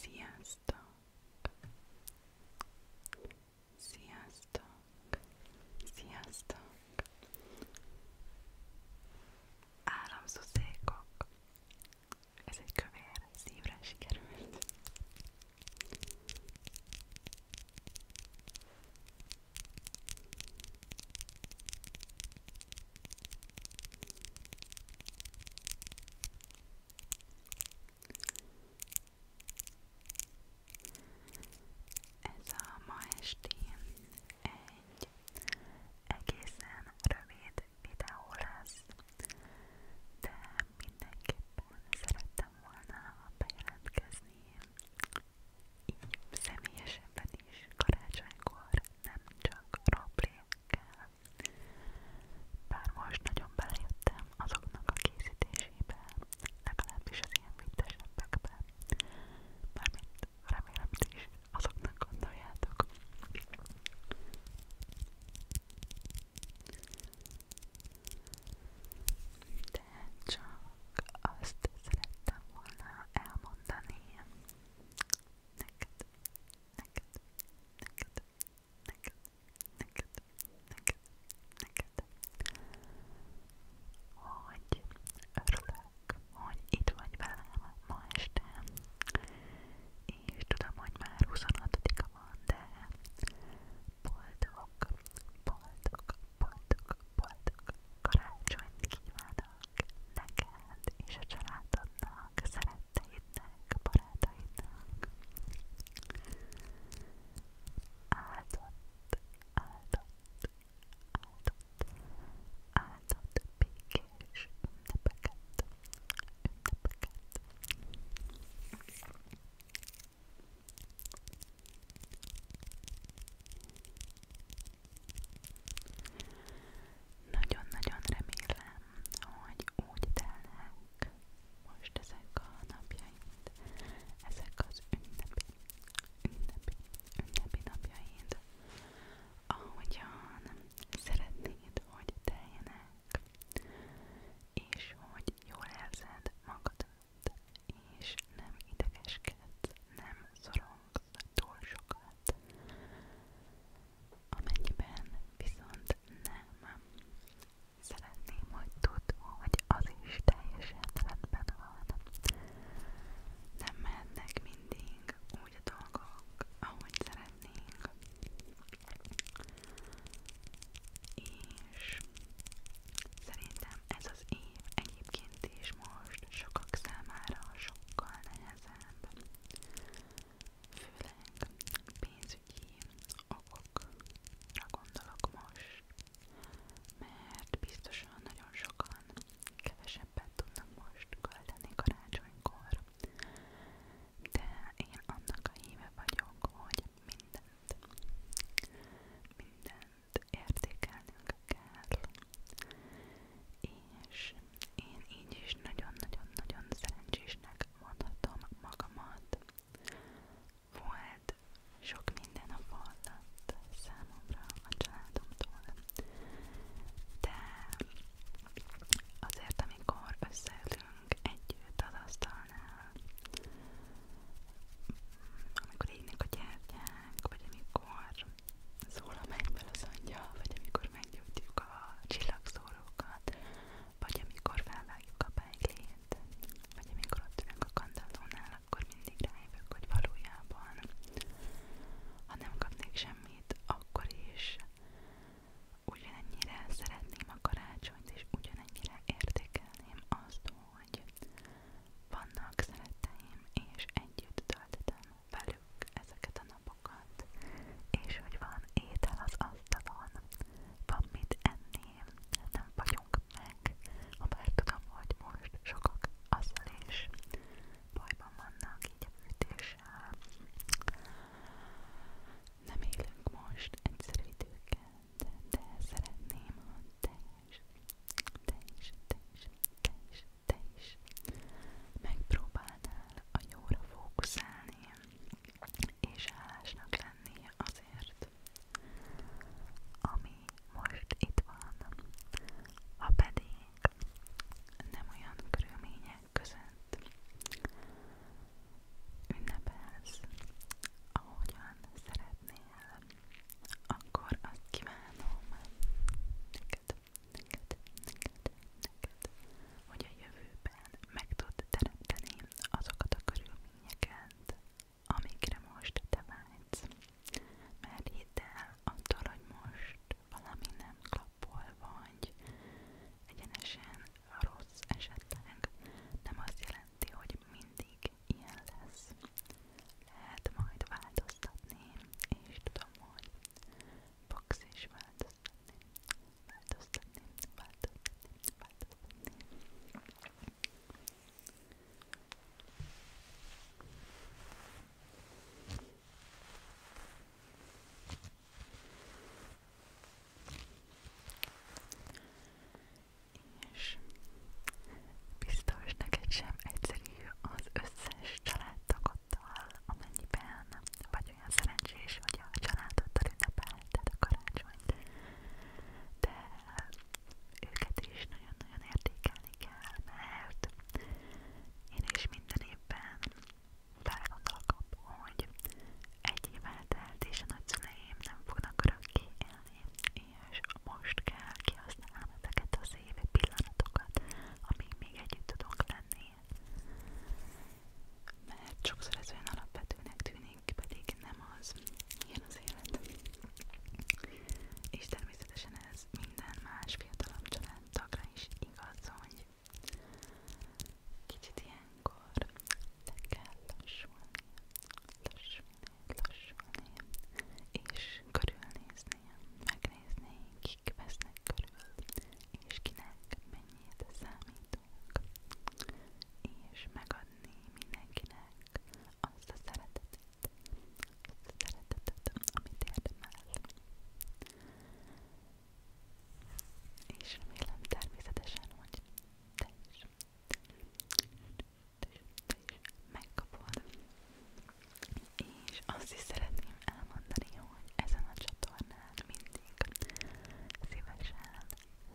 Sziasztok! Sziasztok! Sziasztok! Áramszuszékok! Ez egy kövér szívre sikerült. Ez a ma estén egy egészen rövid videó lesz, de mindenképpen szerettem volna bejelentkezni így személyesebben is karácsonykor nem csak rablékkel. Bár most nagyon belejöttem azoknak a készítésébe, legalábbis az ilyen vittesebbekbe. Mármint remélem ti is azoknak gondoljátok. De csak azt szerettem volna elmondani, neked, neked, neked, neked, neked, neked, neked, hogy örülök, hogy itt vagy velem ma este, és tudom, hogy már 26-a van, de boldog, boldog, boldog, boldog, Karácsonyt kívánok neked és a családodnak, szeretteidnek, barátaidnak. Áldott, áldott, áldott, áldott békés ünnepeket, ünnepeket. Nagyon-nagyon remélem, hogy úgy telnek most ezek a napjaid, ezek az ünnepi, ünnepi, ünnepi napjaid, ahogyan szeretnéd, hogy teljenek, és hogy jól érzed magadat, és nem idegeskedsz, nem szorong túl sokat. Amennyiben viszont nem szeretném, hogy tudd, hogy az is teljesen rendben van. Nem mennek mindig úgy a dolgok, ahogy szeretnénk. És szerintem ez az év egyébként is most sokak számára sokkal nehezebb, főleg pénzügyi okokra gondolok most, mert biztosan nagyon sokan kevesebbet tudnak most költeni karácsonykor, de én annak a híve vagyok, hogy mindent, minden értékelnünk kell. És én így is nagyon-nagyon-nagyon szerencsésnek mondhatom magamat. Volt sok minden a falat számomra, a családomtól, de azért amikor összeülünk együtt az asztalnál, amikor égnek a gyertyák, vagy amikor szól a mennyből az angyal, vagy amikor meggyújtjuk a csillagszórókat, vagy amikor felvágjuk a bejglét, vagy amikor ott ülünk a kandallónál, akkor mindig rájövök, hogy valójában ha nem kapnék semmit, akkor is ugyanennyire szeretném a karácsonyt, és ugyanennyire értékelném azt, hogy vannak szeretteim, és együtt töltöttem velük ezeket a napokat, és hogy van étel az asztalon, van mit enni, nem vagyunk meg, ha bár tudom, hogy most sokak azzal is bajban vannak, így a fűtéssel. Nem élünk most egyszerű időket, de, de szeretném, ha te is, te is, te is, te is, te is megpróbálnál a jóra fókuszálni és hálásnak lenni azért, ami most itt van. Ha pedig nem olyan körülmények között, ünnepelsz, ahogyan szeretnél, akkor azt kívánom neked, neked, neked, neked, hogy a jövőben meg tud teremteni azokat a körülményeket, amikre most te vágysz. Mert hidd el, attól, hogy most valami nem klappol vagy, egyenesen rossz esetleg nem azt jelenti, jelenti, hogy mindig ilyen lesz. Lehet majd változtatni, és tudom, hogy fogsz is változtatni, változtatni, változtatni, változtatni. És biztos neked sem egyszerű az összes családtagoddal, amennyiben vagy olyan szerencsés, hogy a családoddal ünnepelted a karácsonyt, de őket is nagyon-nagyon értékelni kell, mert én is minden évben Belegondolok abban, hogy egy év eltelt és a nagyszüleim nem fognak örökké élni, és most kell kihasználnom ezeket az évi pillanatokat, amíg még együtt tudunk lenni. Mert sokszor ez olyan alapvetőnek tűnik, pedig nem az. Ilyen az élet. És természetesen ez minden más fiatalabb családtagra is igaz, hogy Kicsit ilyenkor le kell lassulni, lassulni, lassulni, és körülnézni, megnézni, kik vesznek körül, és kinek mennyit számítunk, és megadni mindenkinek azt a szeretetet, azt a szeretetet, amit érdemel. És remélem természetesen, hogy te is, te is, te is megkapod. És azt is szeretném elmondani, hogy ezen a csatornán mindig szívesen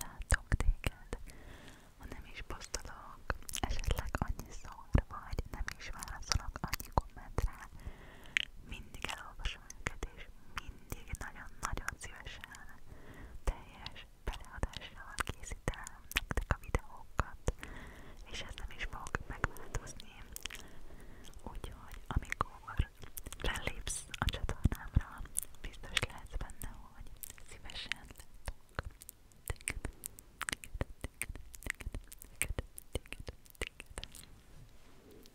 látok téged, ha nem is posztolok esetleg annyiszor, vagy nem is válaszolok annyi kommentre, mindig elolvasom és őket, mindig nagyon-nagyon szívesen teljes beleadással készítem nektek a videókat, és ez nem is fog megváltozni. Úgyhogy amikor lelépsz a csatornámra, biztos lesz benne, hogy szívesen látok. Téged, téged, téged, téged, téged, téged, téged.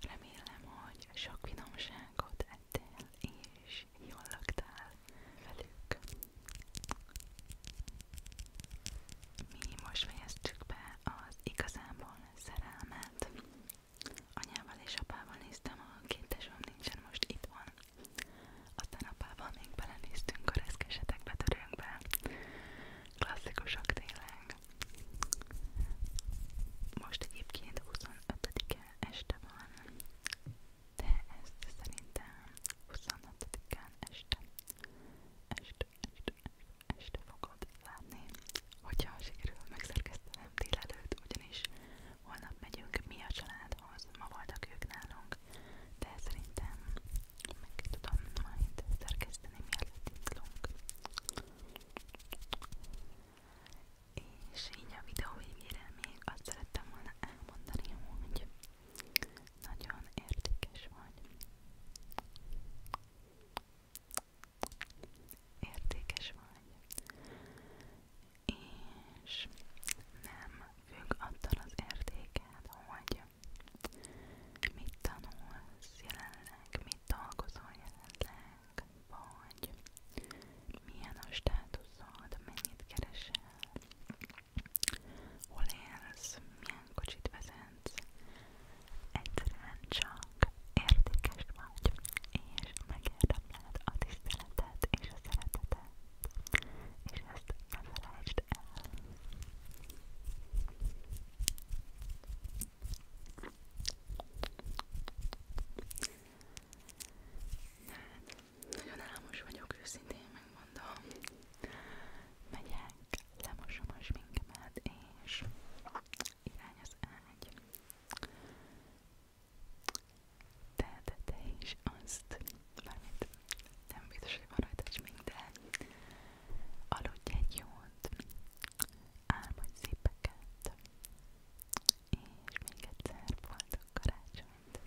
Remélem, hogy sok finomságot ettél és jól laktál velük. Mi most fejeztük be az igazából szerelmet. Anyával és apával néztem, a két tesóm nincsen most itthon. Aztán apával még belenéztünk a reszkesetek betörőkbe. Klasszikusak tényleg. Most egyébként 25-e este van, de ezt szerintem 26-án este. Este, este, este este fogod látni, hogyha sikerül megszerkesztenem délelőtt, ugyanis holnap megyünk mi a családhoz, ma voltak ők nálunk, de szerintem meg tudom majd szerkeszteni, mielőtt indulunk. És így a videó végére még azt szerettem volna elmondani, hogy nagyon értékes vagy értékes vagy, és nem függ attól az értéked, hogy mit tanulsz jelenleg, mit dolgozol jelenleg, vagy milyen a státuszod, mennyit keresel, hol élsz, milyen kocsit vezetsz, kedvenc. Egyszerűen csak értékes vagy, és megérdemled a tiszteletet és a szeretetet, és ezt ne felejtsd el. Hát, nagyon álmos vagyok, őszintén megmondom. Megyek lemosom a sminkemet, és irány az ágy. De, de te is azt, mármint nem biztos, hogy van rajta smink, de aludj egy jót, álmodj szépeket, és még egyszer boldog karácsonyt!